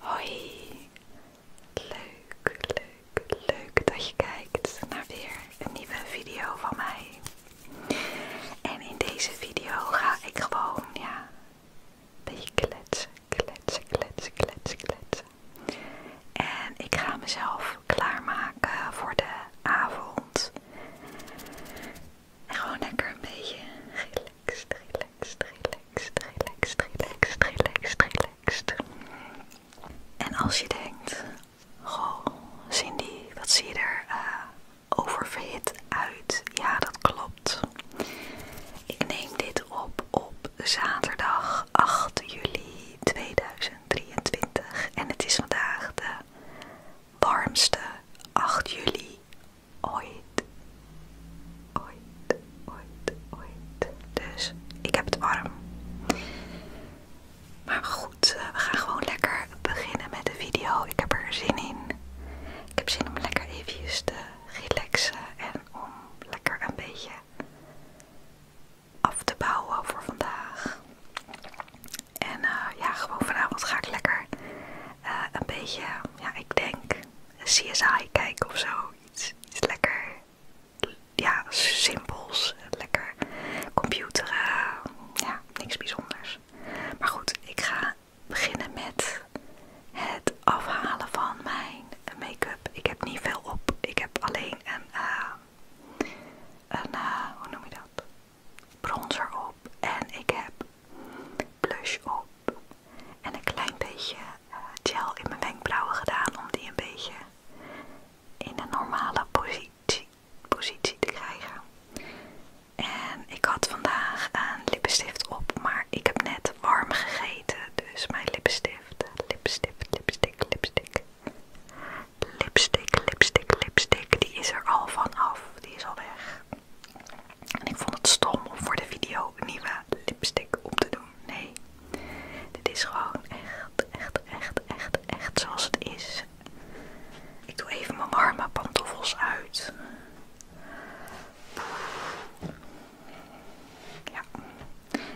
Hoi, leuk, leuk, leuk dat je kijkt naar weer een nieuwe video van mij. En in deze video ga ik gewoon, ja, een beetje kletsen, kletsen, kletsen, kletsen, kletsen. En ik ga mezelf klaarmaken voor de avond. En gewoon lekker een beetje relaxed, relaxed, relaxed, relaxed, relaxed, relaxed, relaxed. En als je denkt, goh Cindy, wat zie je er eh, oververhit uit? Ja, dat klopt. Ik neem dit op op zaterdag 8 juli 2023 en het is vandaag de warmste 8 juli ooit, ooit, ooit, ooit. Dus ik heb het warm. Maar goed, eh, we gaan gewoon lekker beginnen met de video. Ik heb er zin in. Ik heb zin om lekker even te relaxen en om lekker een beetje af te bouwen voor vandaag. En eh, ja, gewoon vanavond ga ik lekker eh, een beetje, ja, ik denk CSI kijken of zo. Iets, lekker, ja, simpels, lekker computer, ja, niks bijzonders. Maar goed, ik ga beginnen met het afhalen van mijn make-up. Ik heb niet veel op, ik heb alleen een, eh, een eh, hoe noem bronzer op en ik heb blush op en een klein beetje eh, gel in mijn wenkbrauwen gedaan om die een beetje in een normale positie, positie te krijgen. En ik had vandaag een lippenstift op, maar ik heb net warm gegeten, dus mijn lippenstift, lipstift, lipstick, lipstick, lipstick, lipstick, lipstick, die is er al van af, die is al weg. En ik vond het stom om voor de video een nieuwe lipstick op te doen. Nee, dit is gewoon echt, echt, echt, echt, echt zoals het is. Ik doe even mijn warme pantoffels uit. Ja.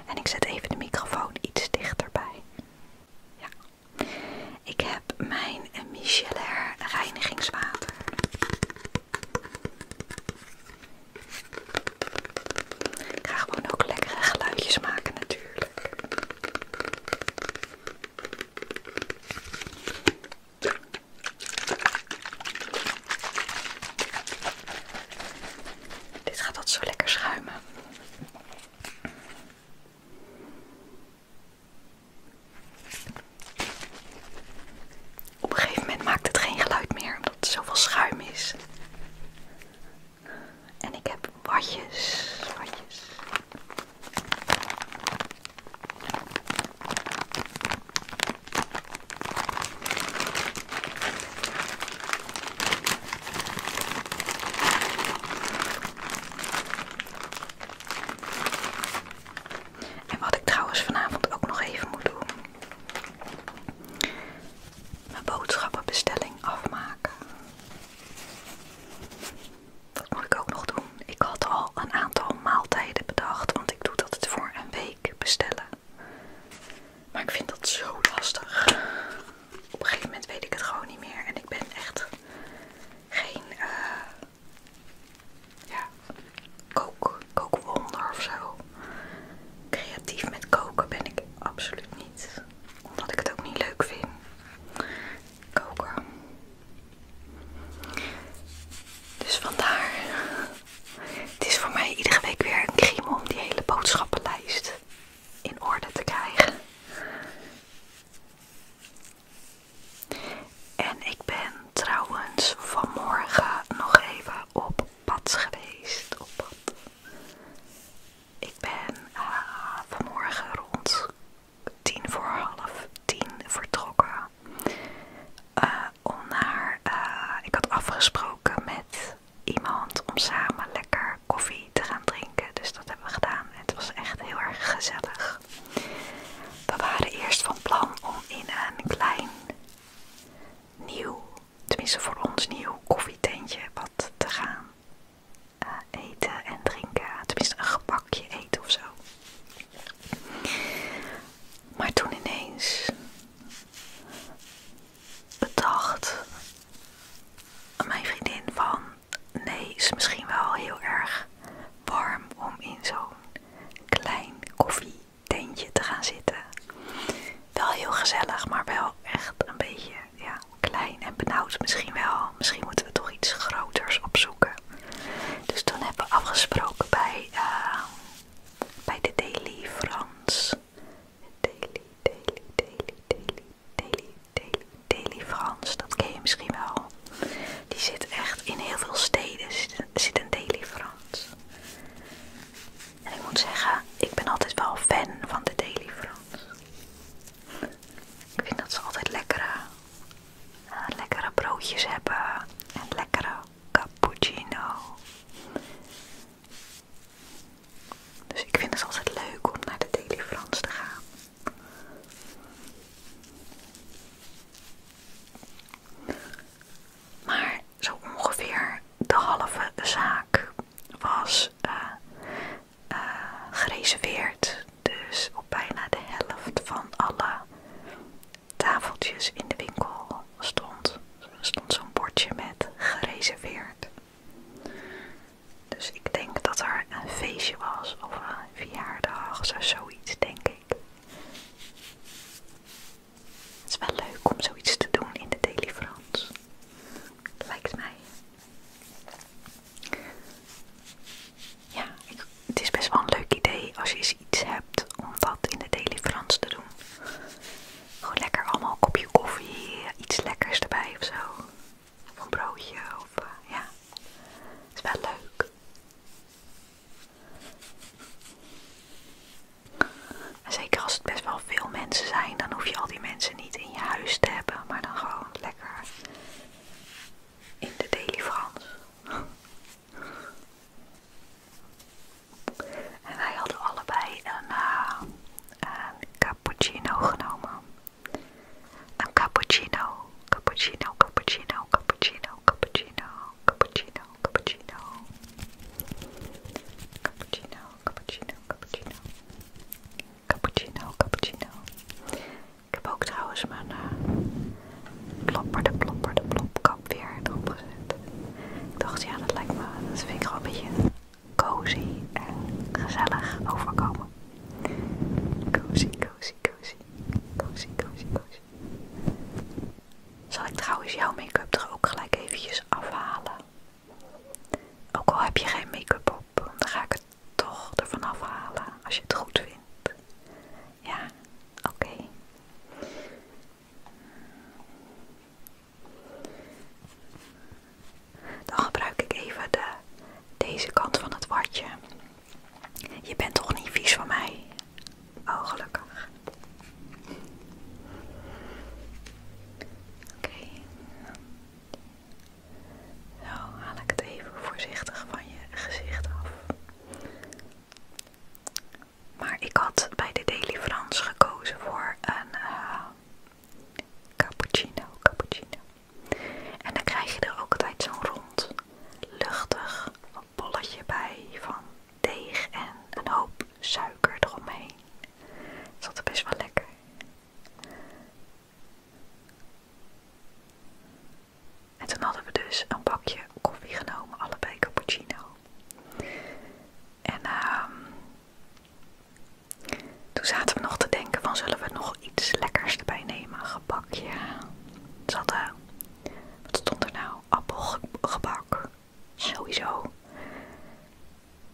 En ik zet even de microfoon iets dichterbij. Ja. Ik heb mijn micellair reinigingswater ga gewoon ook lekkere geluidjes maken natuurlijk. Dit gaat altijd zo lekker schuimen. Op een gegeven moment maakt het geen geluid meer omdat zo zoveel schuim is. En ik heb watjes, watjes. En wat ik trouwens vanavond ook nog even moet doen. Mijn boodschappenbestelling afmaken. Dat moet ik ook nog doen. Ik had al een aantal maaltijden bedacht, want ik doe dat het voor een week bestellen. Maar ik vind dat zo lastig. Op een gegeven moment weet ik het gewoon niet meer. En ik ben echt geen eh, ja, kook, kookwonder of zo. Creatief met koken ben ik absoluut niet, omdat ik het ook niet leuk vind. Koken. Dus vandaar, het is voor mij iedere week weer een crime om die hele boodschappenlijst in orde te krijgen. En ik ben trouwens vanmorgen nog even op pad geweest. Op pad. Ik ben eh, vanmorgen rond tien voor half tien vertrokken. Eh, om naar, eh, ik had afgesproken met iemand om samen lekker koffie te gaan drinken. Dus dat hebben we gedaan. Het was echt heel erg gezellig. We waren eerst van plan om in een klein nieuw, tenminste voor ons nieuw koffietentje wat te gaan eh, eten en drinken. Tenminste een gebakje eten of zo. Maar toen ineens bedacht mijn vriendin van nee, is misschien wel heel erg warm om in zo'n klein koffietentje te gaan zitten. Wel heel gezellig, maar wel echt een beetje ja, klein en benauwd misschien wel. Misschien moeten we toch iets groters opzoeken. Dus toen hebben we afgesproken bij, eh, bij de Daily France. Daily, Daily, Daily, Daily, Daily, Daily, Daily France. Dat ken je misschien wel. Die zit echt in heel veel steden, zit, een een frans. En ik moet zeggen, ik ben altijd wel fan van de daily frans. Ik vind dat ze altijd lekkere, eh, lekkere broodjes hebben en lekkere cappuccino. Dus ik vind het altijd leuk om naar de daily Frans te gaan. Maar zo ongeveer de halve zaak was eh, eh, gereserveerd. Dus op bijna de helft van alle tafeltjes in de winkel stond, stond zo'n bordje met gereserveerd. Dus ik denk dat er een feestje was of een verjaardag of zoiets, denk ik. Het is wel leuk om zoiets te doen in de Daily France. Lijkt mij. Ja, het is best wel een leuk idee als je iets hebt om dat in de Daily France te doen. Gewoon lekker allemaal kopje koffie, iets lekkers erbij of zo. Of een broodje of eh, ja. Het is wel leuk zeker als het best wel veel mensen zijn, dan hoef je al die mensen niet in je huis te hebben, maar dan gewoon lekker in de Daily Frans. En wij hadden allebei een eh, cappuccino genomen. Een cappuccino cappuccino, cappuccino, cappuccino, cappuccino, cappuccino, cappuccino, cappuccino, cappuccino, cappuccino, cappuccino, cappuccino. Ik heb ook trouwens mijn uh, eh, plopper, de plopper, de weer erop gezet. Ik dacht, ja, dat lijkt me, dat vind ik gewoon een beetje cozy en gezellig overkomen. Cozy, cozy, cozy, cozy, cozy, cozy. Zal ik trouwens jouw make-up er ook gelijk eventjes afhalen? Ook al heb je geen make-up op, dan ga ik het toch ervan afhalen als je het goed vindt. Ja, oké. Dan gebruik ik even de, deze kant van het watje. Je bent toch niet vies van mij? Oh, gelukkig. Oké. Zo haal ik het even voorzichtig van je gezicht af. Maar ik had bij de Daily gekozen voor een eh, cappuccino, cappuccino. En dan krijg je er ook altijd zo'n rond luchtig een bolletje bij van deeg en een hoop suiker eromheen. Dat zat er best wel lekker. En toen hadden we dus een bakje koffie genomen, allebei cappuccino. En ehm toen zaten we nog te denken van zullen we nog iets lekkers erbij nemen, een gebakje. zat er. Wat stond er nou? Appelgebak. Sowieso.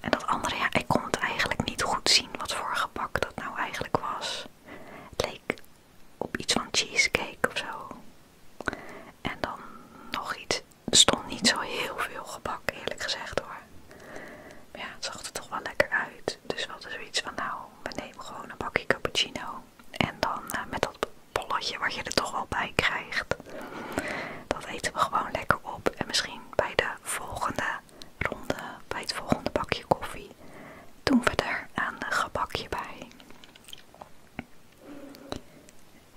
En dat andere, ja, ik kon het eigenlijk niet goed zien wat voor gebak dat nou eigenlijk was. Het leek op iets van cheesecake of zo. En dan nog iets. Er stond niet zo heel veel gebak, eerlijk gezegd hoor. Maar ja, het zag er toch wel lekker uit. Dus we hadden zoiets van, nou, we nemen gewoon een bakje cappuccino en dan eh, met dat bolletje wat je er toch wel bij krijgt. Dat eten we gewoon lekker op. En misschien bij de volgende ronde, bij het volgende bakje koffie, doen we er een gebakje bij.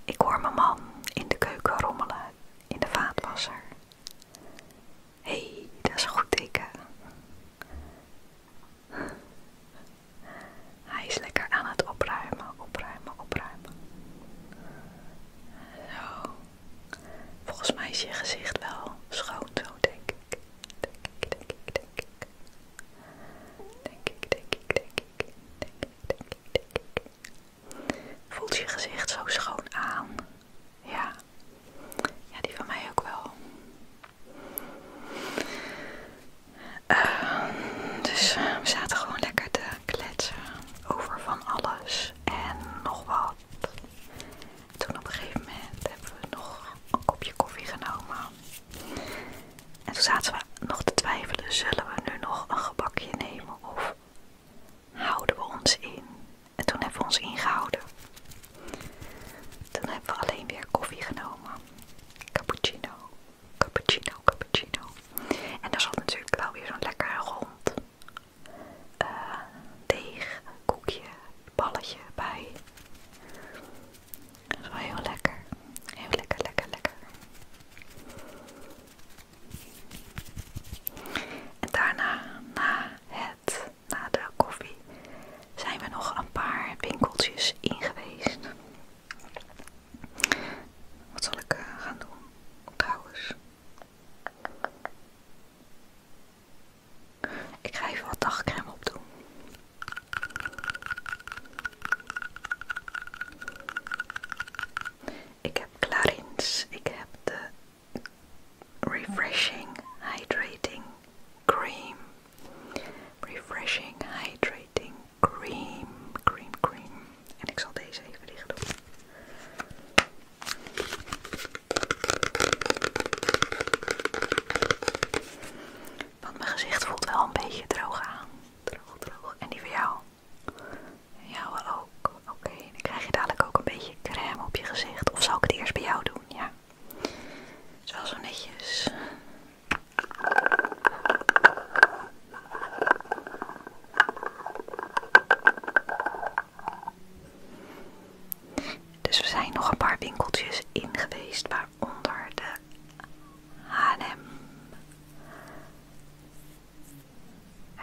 Ik hoor mijn man in de keuken rommelen, in de vaatwasser. Hé, hey, dat is goed teken. Hij is lekker aan het opruimen, opruimen, opruimen. Zo. Volgens mij is je gezicht wel schoon zo, denk ik. Denk ik, denk ik, denk ik. Denk ik, denk ik, denk ik. Denk ik, Voelt je gezicht zo schoon aan? Ja. Ja, die van mij ook wel. Ehm, dus eh, we zaten gewoon lekker te kletsen over van alles en nog wat. Toen op een gegeven moment hebben we nog een kopje koffie genomen. En toen zaten we nog te twijfelen, zullen we nu nog een gebakje nemen of houden we ons in? En toen hebben we ons ingehouden. Dan hebben we alleen weer koffie genomen. Cappuccino, cappuccino, cappuccino. En daar zat natuurlijk wel weer zo'n lekker rond eh, deeg, koekje, balletje bij. Dat lekker. Heel lekker, lekker, lekker. En daarna, na het na de koffie zijn we nog een paar winkeltjes in geweest. Wat zal ik eh, gaan doen trouwens? Ik ga even wat dagcrème opdoen. Ik heb Clarins, ik heb de Refreshing Hydrating Cream Refreshing Hydrating Cream. Cream, cream. En ik zal deze even dicht doen. Want mijn gezicht voelt wel een beetje droog aan. Droog, droog. En die voor jou? Jou wel ook. Oké, dan krijg je dadelijk ook een beetje crème op je gezicht. Of zal ik het eerst bij jou doen? Ja zo netjes. Dus we zijn nog een paar winkeltjes ingeweest geweest, waaronder de H&M.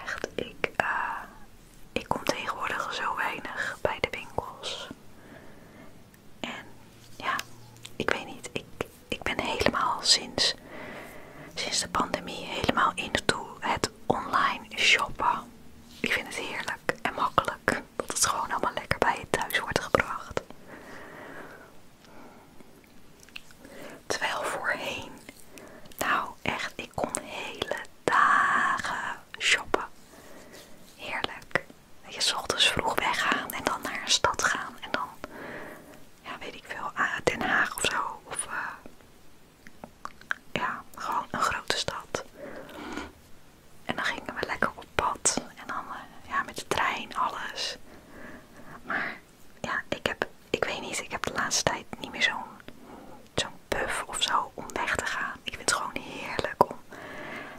Echt, ik, eh, ik kom tegenwoordig zo weinig bij de winkels. En ja, ik weet niet, ik, ben helemaal sinds, sinds de pandemie helemaal in toe het online shoppen. Ik vind het heerlijk en makkelijk dat het gewoon allemaal lekker bij je thuis wordt gebracht. Terwijl voorheen, nou echt, ik kon hele dagen shoppen. Heerlijk je, s ochtends vroeg weggaan en dan naar een stad gaan. En dan, ja, weet ik veel, Den Haag of zo. Of, eh, ja, gewoon een grote stad. En dan gingen we lekker op pad. En dan, eh, ja, met de trein, alles. Maar, ja, ik heb, ik weet niet, ik heb de laatste tijd niet meer zo'n zo'n puff of zo om weg te gaan. Ik vind het gewoon heerlijk om,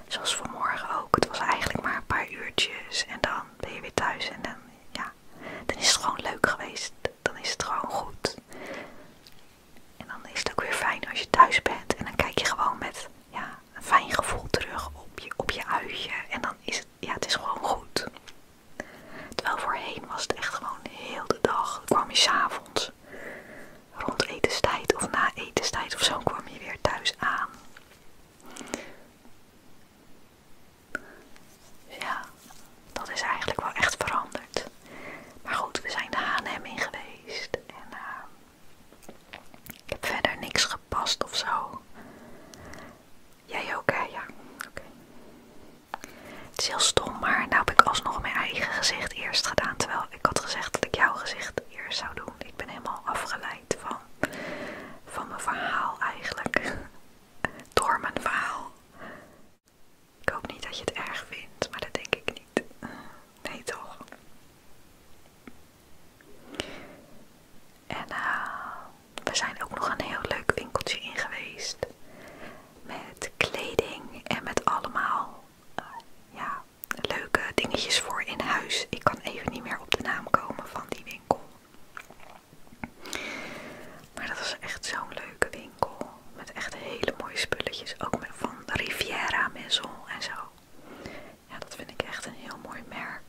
zoals vanmorgen ook, het was eigenlijk maar een paar uurtjes en dan ben je weer thuis en dan, ja, dan is het gewoon leuk geweest. Dan is het gewoon goed. En dan is het ook weer fijn als je thuis bent en dan kijk je gewoon met ja, een fijn gevoel terug op je, op je uitje en dan is het, ja, het is gewoon goed. Terwijl voorheen was het echt gewoon heel de dag. Dan kwam je s'avonds rond etenstijd of na etenstijd of zo kwam je weer thuis aan. ja, dat is eigenlijk wel echt veranderd. Maar goed, we zijn de H&M in geweest en eh, ik heb verder niks gepast of zo. Jij ook, Ja, oké. Het is heel stom, maar nou heb ik alsnog mijn eigen gezicht eerst gedaan. Terwijl ik had gezegd dat ik jouw gezicht hier zou doen. Ik ben helemaal afgeleid van, van mijn verhaal eigenlijk. Door mijn verhaal. Ik hoop niet dat je het erg vindt, maar dat denk ik niet. Nee toch? En eh, we zijn ook nog een heel leuk winkeltje in geweest. Met kleding en met allemaal eh, ja, leuke dingetjes voor in huis. Ik kan even niet meer op de naam komen van die winkel. Maar dat was echt zo'n leuke winkel. Met echt hele mooie spulletjes. Ook met van Riviera Maison en zo. Ja, dat vind ik echt een heel mooi merk.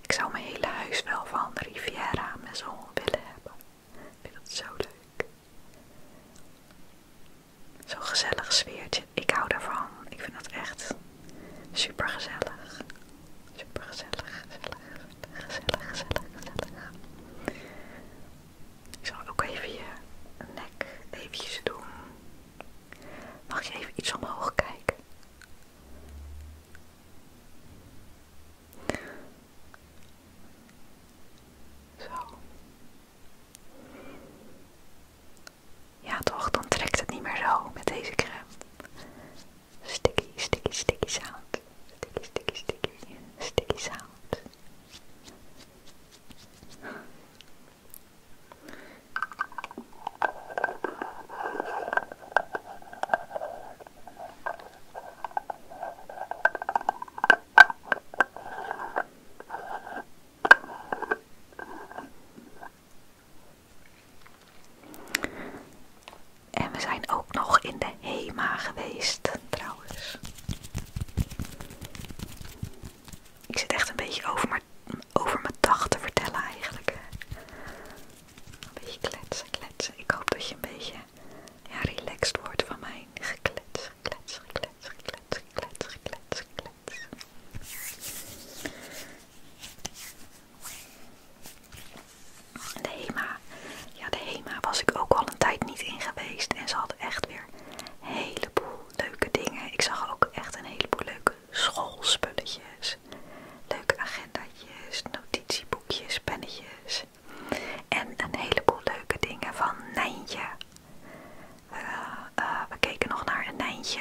Ik zou mijn hele huis wel van Riviera Maison willen hebben. Ik vind dat zo leuk. Zo'n gezellig sfeertje. Ik hou daarvan. Ik vind dat echt super gezellig. Super gezellig, gezellig, gezellig, gezellig, gezellig. Ik zal ook even je nek eventjes doen. Mag je even iets omhoog kijken? Zo. Ja toch, dan trekt het niet meer zo met deze crème. Sticky, sticky, sticky sound. Sticky, sticky, sticky, sticky sound. En we zijn ook nog in de HEMA geweest, trouwens. Ik zit echt een beetje over, maar, over mijn dag te vertellen eigenlijk. Een beetje kletsen, kletsen. Ik hoop dat je een beetje ja, relaxed wordt van mijn geklets, geklets, geklets, geklets, geklets, geklets, geklets. De HEMA. Ja, de HEMA was ik ook al een tijd niet in geweest. En ze hadden echt weer een heleboel leuke dingen. Ik zag ook echt een heleboel leuke schoolspulletjes. Leuke agenda's, notitieboekjes, pennetjes. En een heleboel leuke dingen van Nijntje. Eh, eh, we keken nog naar een Nijntje,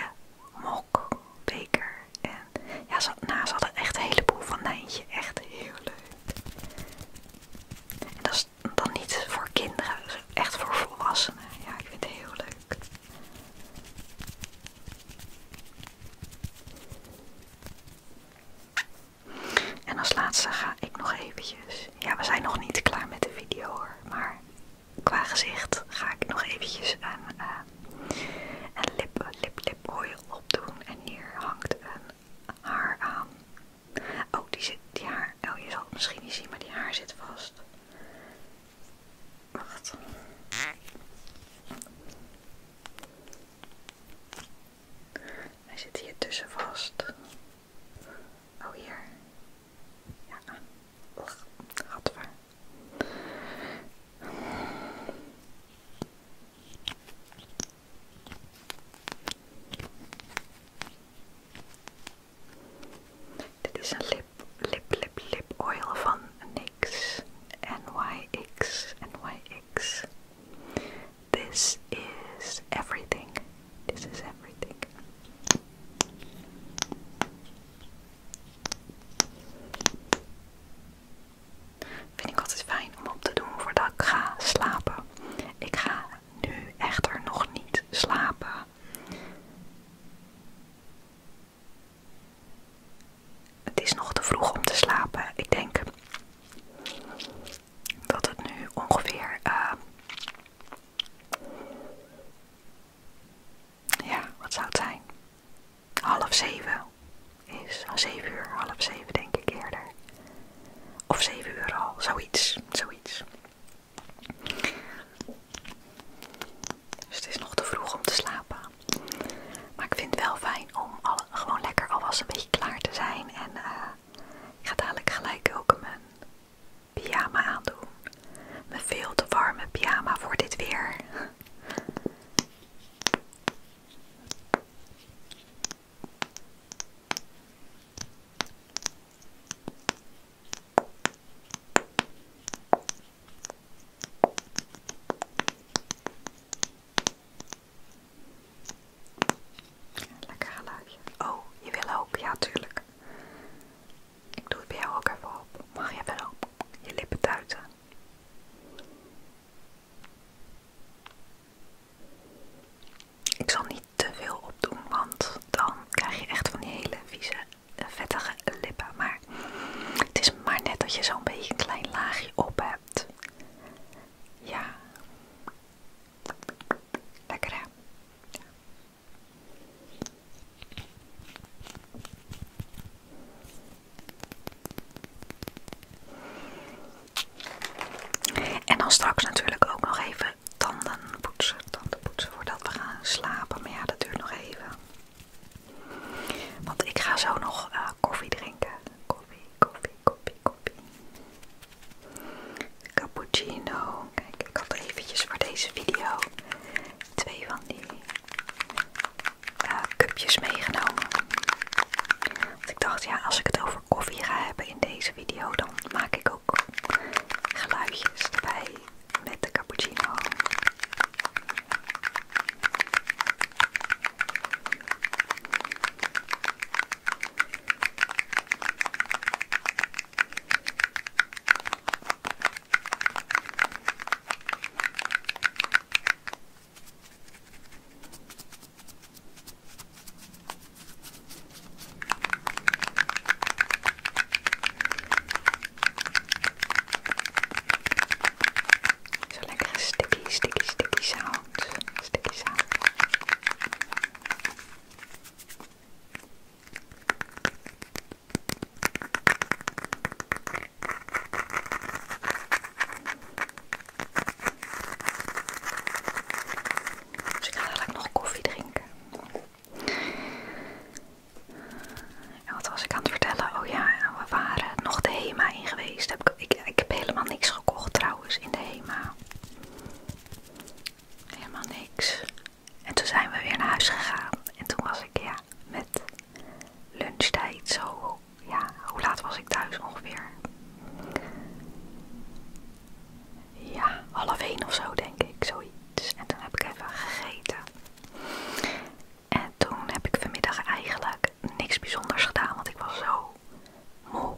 Mok, Beker. En ja, naast nou, hadden echt een heleboel van Nijntje. Echt heel leuk. dat is dan niet voor kinderen, echt voor volwassenen. Ja, ik vind het heel leuk. En als laatste ga ik nog eventjes. Ja, we zijn nog niet klaar met de video hoor, maar qua gezicht ga ik nog eventjes een, eh, lip, lip, lip opdoen. En hier hangt een haar aan. Oh, die, zit, die haar. Oh, je zal het misschien niet zien, maar die haar zit vast. Wacht. Hij zit hier tussen vast. Oh, hier. Ja. Gadver. Dit is een lip, lip, lip, lip oil van NYX. NYX, NYX. This is everything. This is everything. Vind ik altijd fijn om op te doen voordat ik ga slapen. Ik ga nu echter nog niet slapen. Het is nog te vroeg om te slapen. Ik denk dat het nu ongeveer eh, ja, wat zou het zijn? Half zeven is oh, zeven uur, half zeven denk ik eerder. Of zeven uur al, zoiets, zoiets. Dus het is nog te vroeg om te slapen. Maar ik vind het wel fijn om gewoon lekker alvast een beetje klaar te zijn. En eh, ik ga dadelijk gelijk ook mijn pyjama aandoen. Mijn veel te warme pyjama voor dit weer. Lekker geluidje. Oh, je wil ook? Ja, natuurlijk. Ik doe het bij jou ook even op. Mag je wel je lippen duiten. Ik zal niet te veel opdoen, want dan krijg je echt van die hele vieze, vettige lippen. Maar het is maar net dat je zo'n beetje een klein laagje op hebt. Ja. Lekker hè? En dan straks natuurlijk ook nog even tanden poetsen, tanden poetsen voordat we gaan slapen. Maar ja, dat duurt nog even. Want ik ga zo nog eh, koffie drinken. Koffie, koffie, koffie, koffie. Cappuccino. Kijk, ik had eventjes voor deze video twee van die eh, cupjes meegenomen. Want ik dacht, ja, als ik het over koffie ga hebben in deze video, dan maak ik ook geluidjes erbij met de cappuccino. Zo lekker sticky, sticky, sticky sound. Sticky sound. Dus ik ga dadelijk nog koffie drinken. En wat was ik aan het vertellen? Oh ja, we waren nog de HEMA in geweest. Heb ik, ik heb helemaal niks gekocht trouwens in de HEMA. Helemaal niks. En toen zijn we weer naar huis gegaan. En toen was ik, ja, met lunchtijd zo, ja, hoe laat was ik thuis ongeveer? Ja, half één of zo denk ik, zoiets. En toen heb ik even gegeten. En toen heb ik vanmiddag eigenlijk niks bijzonders gedaan, want ik was zo moe.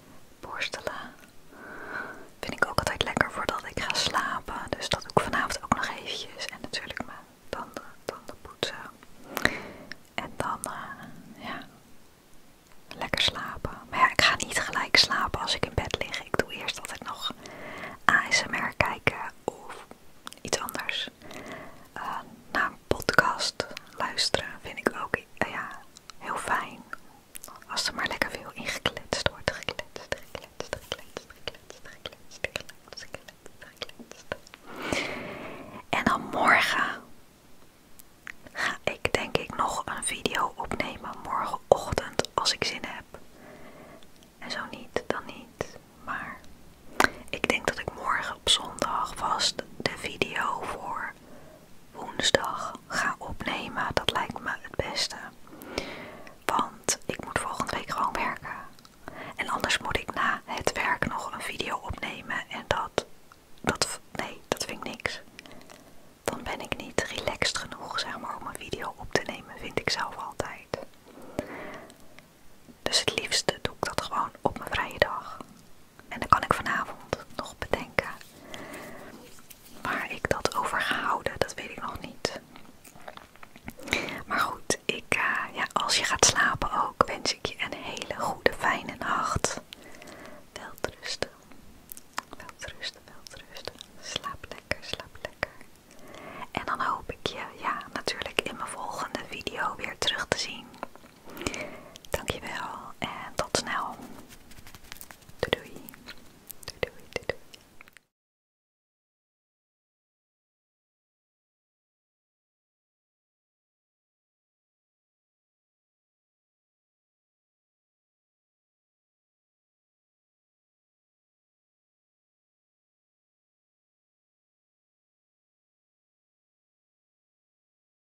borstelen. Vind ik ook altijd lekker voordat ik ga slapen. Dus dat ook vanavond ook nog eventjes. En natuurlijk mijn tanden, tanden poetsen. En dan, eh, ja, lekker slapen. Maar ja, ik ga niet gelijk slapen als ik in bed lig. Ik doe eerst altijd nog ASMR kijken of iets anders. Eh, naar een podcast luisteren vind ik ook, eh, ja, heel fijn. Als er maar lekker veel ingekletst wordt. Gekletst, gekletst, gekletst, gekletst, gekletst, gekletst, En dan morgen ga ik denk ik nog een video opnemen. Morgenochtend als ik zin heb. En zo niet, dan niet. Maar ik denk dat ik morgen op zondag vast de video voor woensdag ga opnemen. Dat lijkt me het beste. Want ik moet volgende week gewoon werken. En anders moet ik na het werk nog een video opnemen. En dat, dat nee, dat vind ik niks. Dan ben ik niet relaxed genoeg, zeg maar, om een video op te nemen, vind ik zelf altijd. Dus het liefste doe ik dat gewoon op mijn vrije dag. En dan kan ik vanavond nog bedenken. maar ik dat over ga houden, dat weet ik nog niet. Maar goed, ik, eh, ja, als je gaat slapen ook, wens ik je een hele goede, fijne nacht. Welterusten. Welterusten, welterusten. Slaap lekker, slaap lekker. En dan hoop ik je, ja, natuurlijk in mijn volgende video weer terug te zien. Dankjewel en tot snel. Doei doei. Doei doei doei. doei.